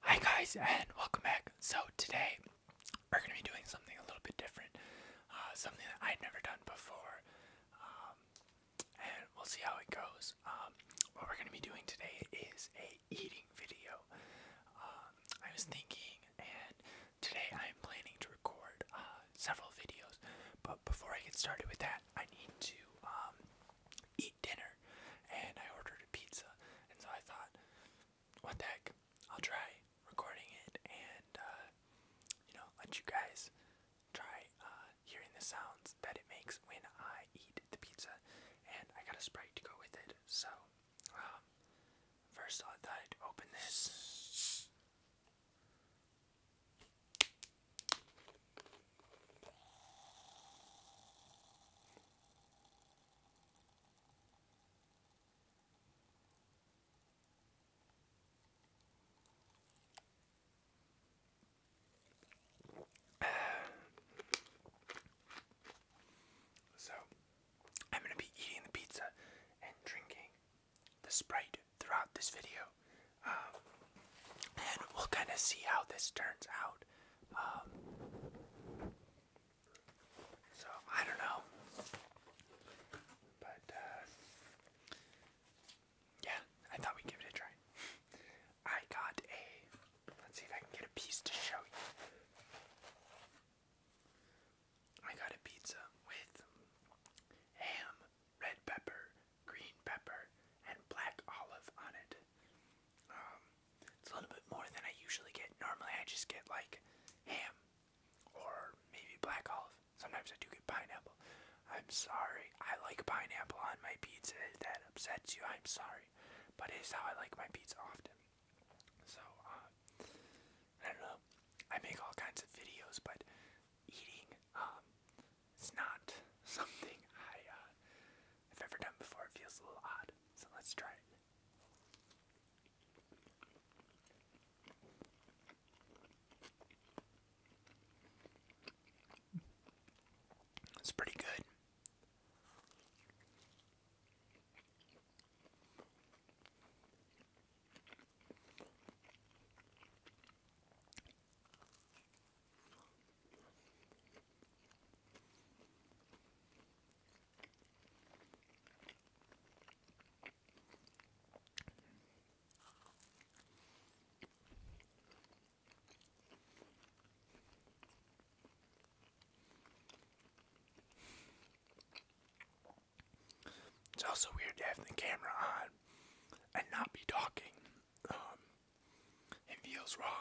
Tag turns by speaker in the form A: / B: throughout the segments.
A: Hi guys and welcome back. So today we're going to be doing something a little bit different, uh, something that I've never done before, um, and we'll see how it goes. Um, what we're going to be doing today is a eating video. Um, I was thinking, and today I'm planning to record uh, several videos, but before I get started with that, I need to eat dinner, and I ordered a pizza. And so I thought, what the heck, I'll try recording it and, uh, you know, let you guys try uh, hearing the sounds that it makes when I eat the pizza. And I got a Sprite to go with it. So, um, first I thought I'd open this. So, I'm going to be eating the pizza and drinking the Sprite throughout this video. Um, and we'll kind of see how this turns out. Um, so I don't know, but uh, yeah, I thought we'd give it a try. I got a. Let's see if I can get a piece to show you. I got a pizza with ham, red pepper, green pepper, and black olive on it. Um, it's a little bit more than I usually get. Normally I just get like ham or maybe black olive. Sometimes I do get pineapple. I'm sorry. I like pineapple on my pizza. that upsets you, I'm sorry. But it is how I like my pizza often. So, uh, I don't know. I make all kinds of videos, but eating, um, it's not something I, uh, I've ever done before. It feels a little odd, so let's try it. It's pretty good. It's also weird to have the camera on and not be talking. Um, it feels wrong.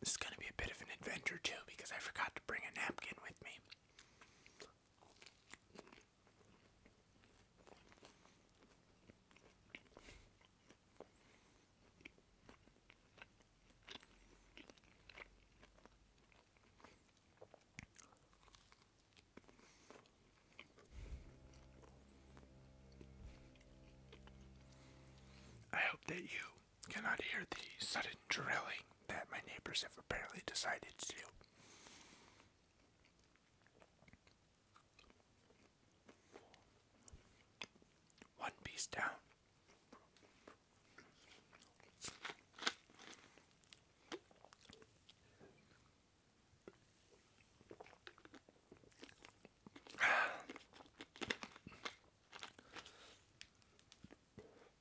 A: This is going to be a bit of an adventure too because I forgot to bring a napkin with me. I hope that you cannot hear the sudden drilling that my neighbors have apparently decided to do. One piece down.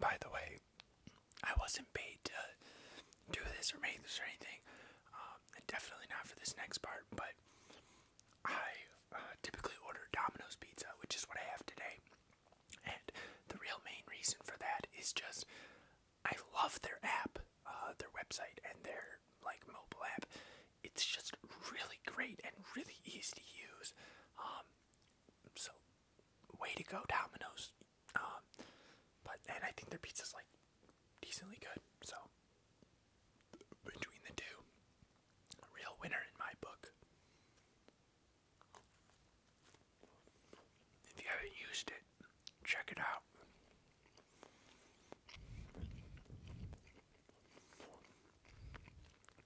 A: By the way, I wasn't paid to do this or make this or anything. Um, definitely not for this next part, but I uh, typically order Domino's pizza, which is what I have today. And the real main reason for that is just I love their app, uh, their website, and their like mobile app. It's just really great and really easy to use. Um, um, so, way to go, Dominoes. Um, but and I think their pizza's like decently good. So between the two, real winner in my book. If you haven't used it, check it out.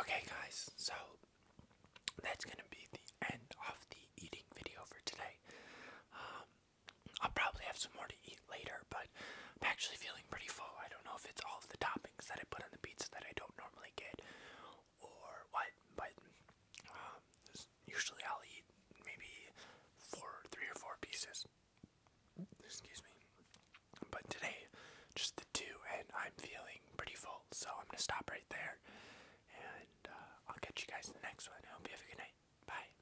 A: Okay, guys, so that's gonna be the end of the eating video for today. Um, I'll probably have some more to eat later, but I'm actually feeling pretty full. I don't know if it's all of the toppings that I put on the pizza that I don't normally get or what, but um, usually I'll eat maybe four, three or four pieces. Excuse me. But today, just the two, and I'm feeling pretty full, so I'm gonna stop right there. And uh, I'll catch you guys in the next one. I hope you have a good night. Bye.